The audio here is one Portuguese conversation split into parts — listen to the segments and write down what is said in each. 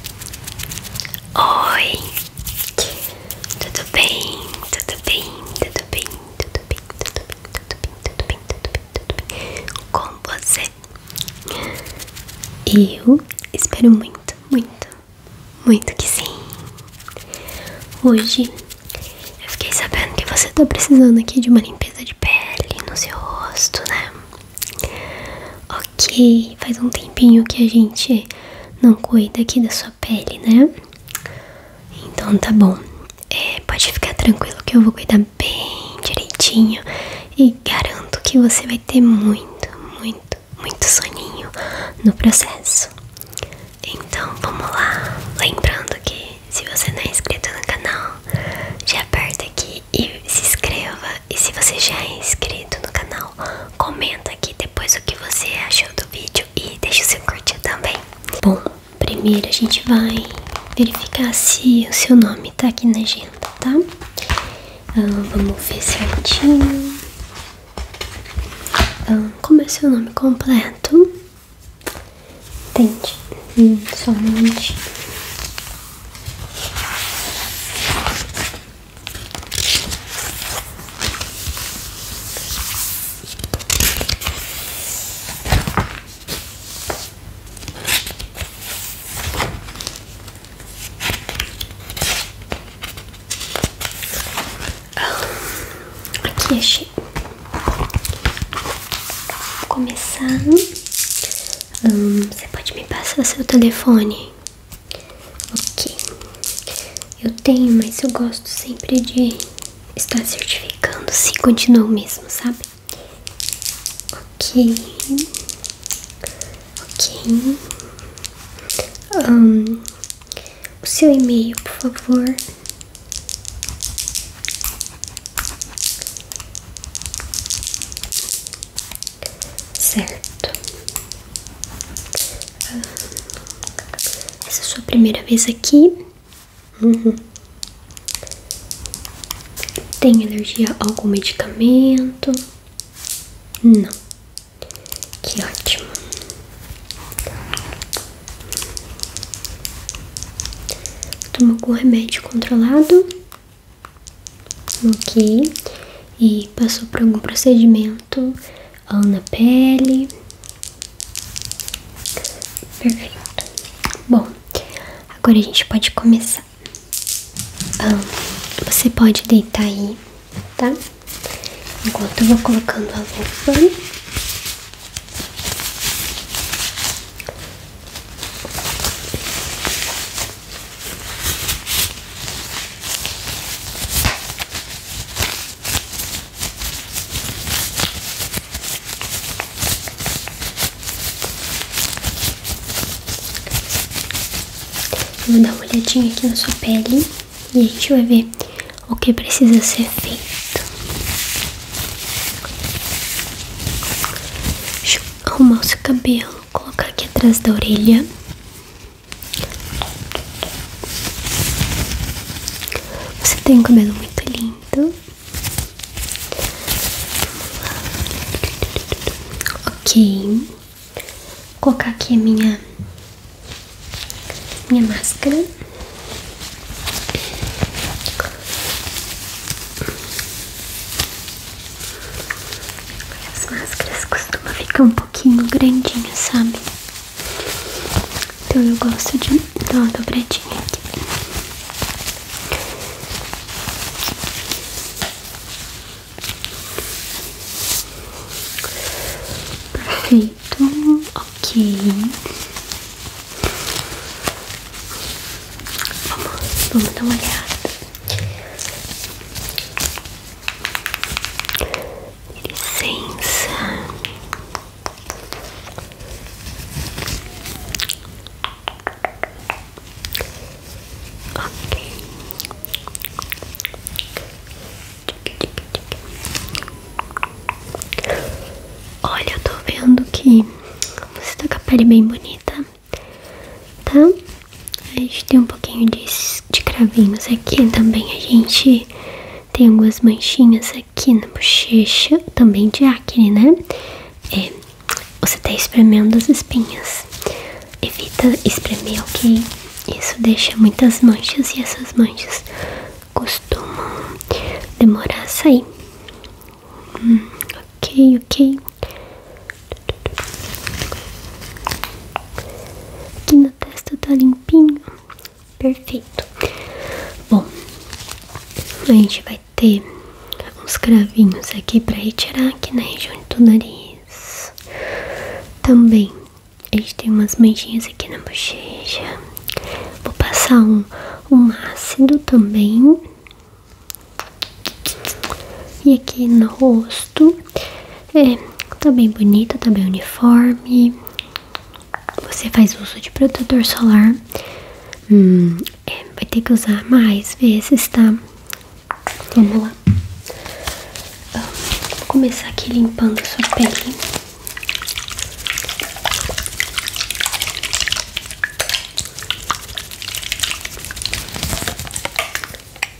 Oi, tudo bem? Tudo bem? Tudo bem? Tudo bem? Tudo bem? Tudo bem? Tudo bem? Tudo bem? Tudo bem? Com você? Eu espero muito, muito, muito que sim. Hoje eu fiquei sabendo que você tá precisando aqui de uma limpeza de pele no seu rosto, né? porque faz um tempinho que a gente não cuida aqui da sua pele, né? Então tá bom, é, pode ficar tranquilo que eu vou cuidar bem direitinho e garanto que você vai ter muito, muito, muito soninho no processo. Então vamos lá, lembrando que se você não é inscrito no canal, já aperta aqui e se inscreva. E se você já é inscrito no canal, comenta aqui depois o que você achou do vídeo e deixe o seu curtir também. Bom, primeiro a gente vai verificar se o seu nome tá aqui na agenda, tá? Ah, vamos ver certinho. Ah, como é seu nome completo? Tente, hum, somente. Aqui achei. Vou começar. você pode me passar seu telefone? Ok. Eu tenho, mas eu gosto sempre de estar certificando se continua o mesmo, sabe? Ok. Ok. o seu e-mail, por favor. Certo. Essa é a sua primeira vez aqui. Uhum. Tem alergia a algum medicamento? Não. Que ótimo. Toma algum remédio controlado? Ok. E passou por algum procedimento na pele? Perfeito. Bom, agora a gente pode começar. Ah, você pode deitar aí, tá? Enquanto eu vou colocando a luva vou dar uma olhadinha aqui na sua pele e a gente vai ver o que precisa ser feito. Deixa eu arrumar o seu cabelo. Vou colocar aqui atrás da orelha. Você tem um cabelo muito lindo. Ok. Vou colocar aqui a minha, minha máscara. As máscaras costumam ficar um pouquinho grandinhas, sabe? Então eu gosto de dar uma dobradinha aqui. Perfeito, ok. Vamos, vamos dar uma olhada. Licença. Ok. Olha, eu tô vendo que você tá com a pele bem bonita tá? A gente tem um pouquinho de, de cravinhos aqui também. A gente tem algumas manchinhas aqui na bochecha, também de acne, né? É, você tá espremendo as espinhas. Evita espremer, ok? Isso deixa muitas manchas e essas manchas costumam demorar a sair. Hum, ok, ok. Aqui na testa tá limpinho. Perfeito. Bom, a gente vai ter uns cravinhos aqui para retirar aqui na região do nariz. Também a gente tem umas manchinhas aqui na bochecha. Vou passar um, um ácido também e aqui no rosto, é, tá bem bonita, tá bem uniforme. Você faz uso de protetor solar. Hum, é, vai ter que usar mais vezes, tá? Vamos lá. Ah, vou começar aqui limpando a sua pele.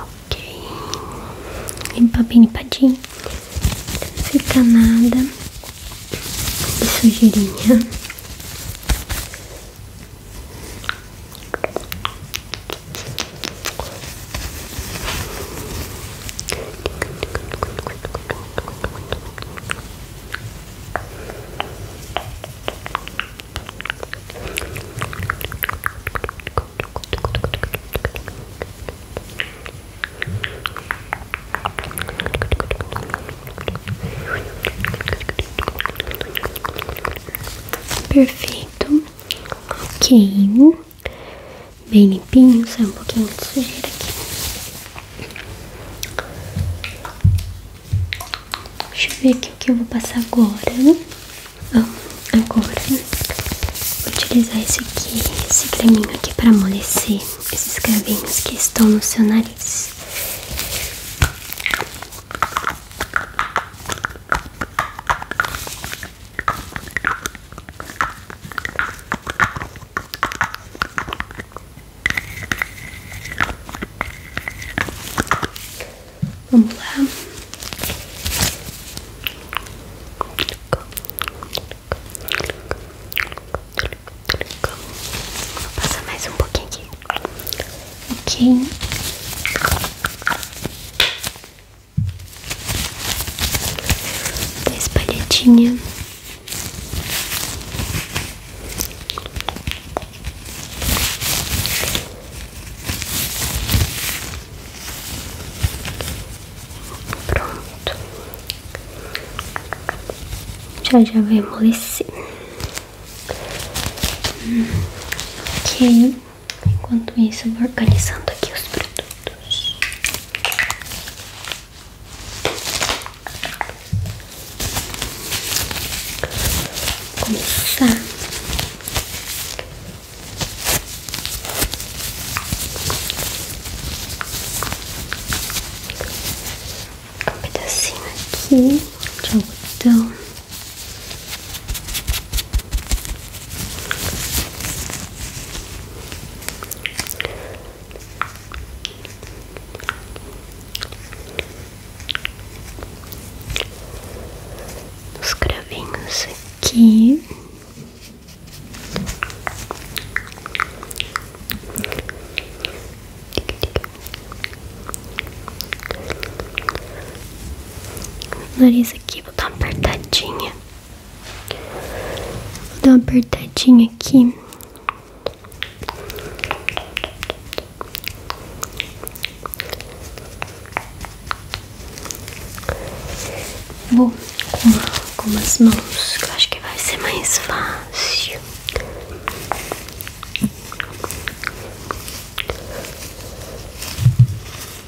Ok, limpa bem limpadinho, não fica nada de sujeirinha. Perfeito, ok bem limpinho, sai um pouquinho de sujeira aqui. Deixa eu ver aqui o que eu vou passar agora. Ah, agora né? vou utilizar esse aqui, esse creminho aqui para amolecer esses cravinhos que estão no seu nariz. Vamos lá. Vou passar mais um pouquinho aqui. Ok da Pronto, já já vai amolecer. Hum. Ok, enquanto isso, vou organizando aqui os frutos dedos. Começar um pedacinho aqui de algodão. Os cravinhos aqui. O nariz aqui, vou dar uma apertadinha. Vou dar uma apertadinha aqui. Vou com, com as mãos, que eu acho que vai ser mais fácil.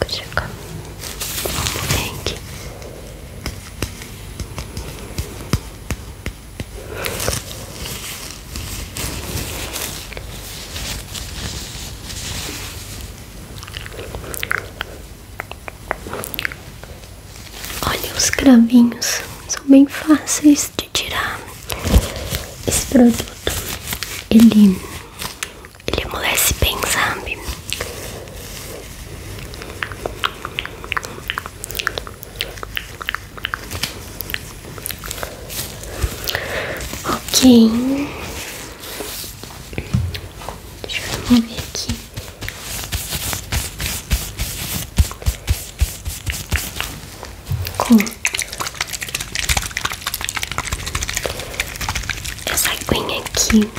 aqui. Olha os cravinhos, são bem fáceis de tirar. Esse produto ele ele amolece bem, sabe? Ok, deixa eu remover aqui. Com essa aguinha aqui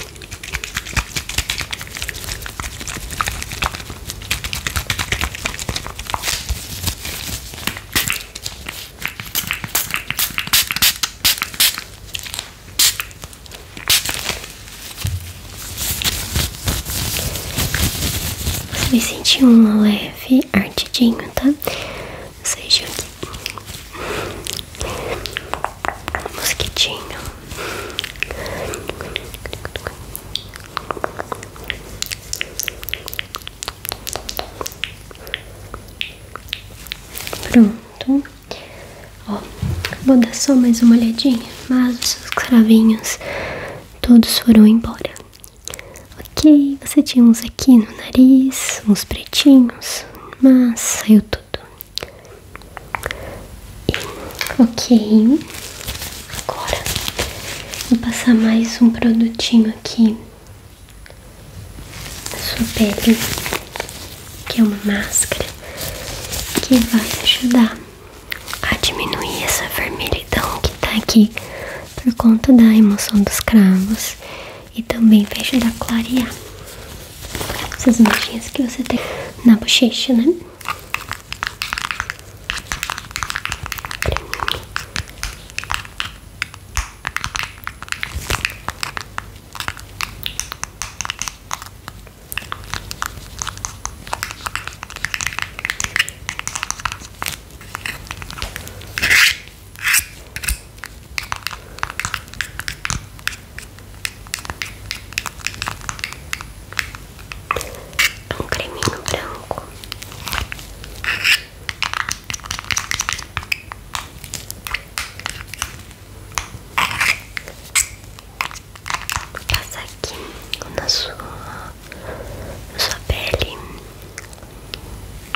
você sentiu um leve ardidinho, tá? seja um mosquitinho. Pronto, ó, vou dar só mais uma olhadinha, mas os seus cravinhos todos foram embora. Ok, você tinha uns aqui no nariz, uns pretinhos, mas saiu tudo. Ok, agora vou passar mais um produtinho aqui na sua pele, que é uma máscara que vai ajudar a diminuir essa vermelhidão que tá aqui por conta da emoção dos cravos e também vai ajudar a clarear essas manchinhas que você tem na bochecha, né? um creminho branco. Passar aqui na sua, na sua pele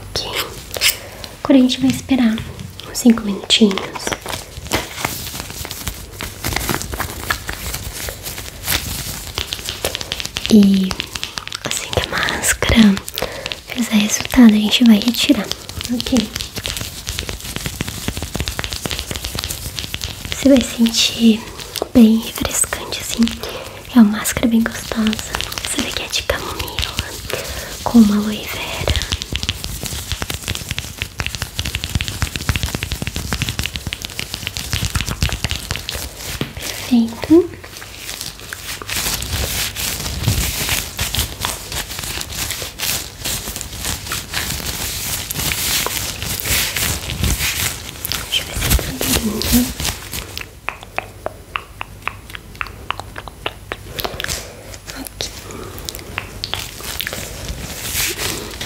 Ok, agora a gente vai esperar uns 5 minutinhos. E assim que a máscara fizer resultado, a gente vai retirar, ok? Você vai sentir bem refrescante assim. É uma máscara bem gostosa. Essa daqui é de camomila com uma aloe vera. Perfeito. Deixa eu ver Aqui.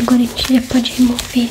Agora a gente já pode remover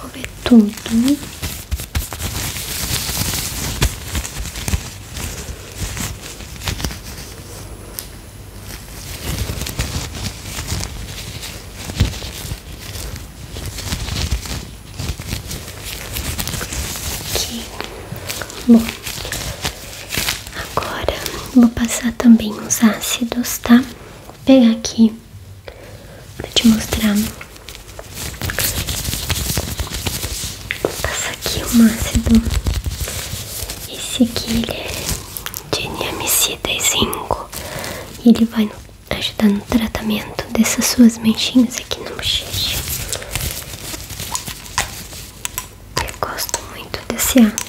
Vou ver tudo. Aqui. Bom, agora vou passar também os ácidos, tá? Vou pegar aqui Vou te mostrar. Passa aqui um ácido. Esse aqui é de niamicida e zinco. E ele vai ajudar no tratamento dessas suas manchinhas aqui na bochecha. Eu gosto muito desse ácido.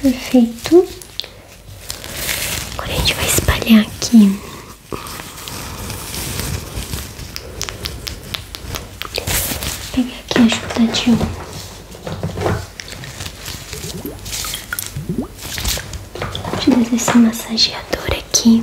Perfeito. Agora a gente vai espalhar aqui. Vou pegar aqui ajudadinho. Vou te dar esse massageador aqui.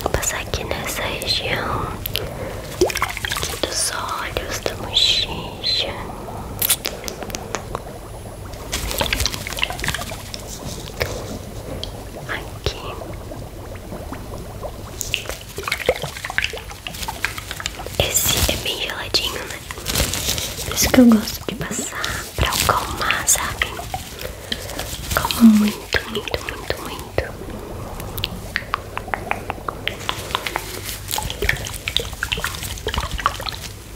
Vou passar aqui nessa região dos olhos, da mochicha. Aqui Esse é bem geladinho, né? Por isso que eu gosto de passar pra acalmar, sabe? Calma muito, muito, muito, muito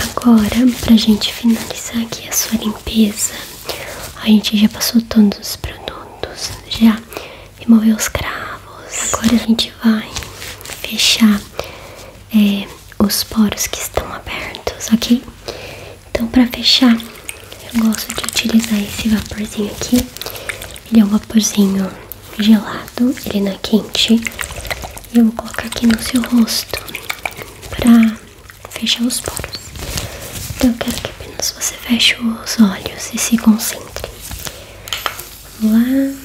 Agora, pra gente finalizar aqui a sua limpeza, a gente já passou todos os produtos, já removeu os cravos. Agora a gente vai fechar é, os poros que estão abertos, ok? Então, para fechar, eu gosto de utilizar esse vaporzinho aqui. Ele é um vaporzinho gelado, ele não é quente. E eu vou colocar aqui no seu rosto pra fechar os poros. Então eu quero que apenas você feche os olhos e se concentre. Vamos lá.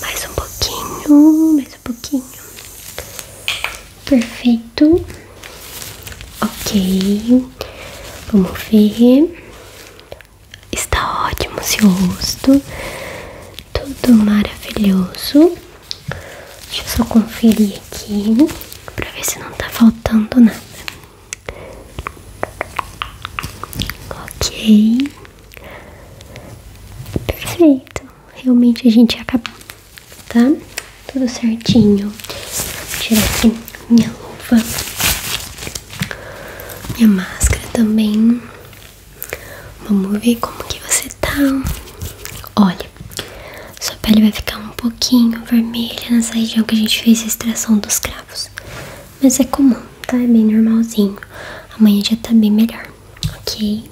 Mais um pouquinho, mais um pouquinho. Perfeito. Ok. Vamos ver. Está ótimo seu rosto. Tudo maravilhoso. Deixa eu só conferir aqui pra ver se não tá faltando nada. Ok. Perfeito. Realmente a gente acabou, tá? Tudo certinho. Vou tirar aqui minha luva. Minha máscara também. Vamos ver como que você tá. Olha, sua pele vai ficar um pouquinho vermelha nessa região que a gente fez a extração dos cravos. Mas é comum, tá? É bem normalzinho. Amanhã já tá bem melhor, ok?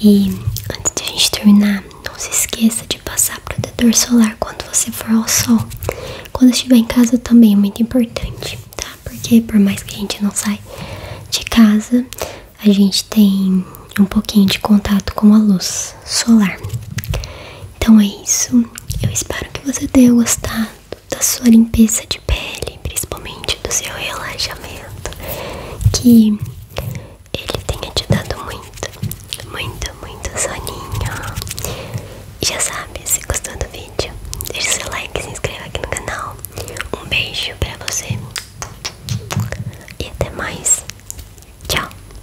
E antes de a gente terminar, não se esqueça de passar protetor solar quando você for ao sol. Quando estiver em casa também é muito importante, tá? Porque por mais que a gente não saia de casa, a gente tem um pouquinho de contato com a luz solar. Então é isso. Eu espero que você tenha gostado da sua limpeza de pele, principalmente do seu relaxamento. Que ele tenha te dado muito, muito, muito soninho. já sabe, se gostou do vídeo, deixa seu like, se inscreva aqui no canal. Um beijo pra você. E até mais. Tchau.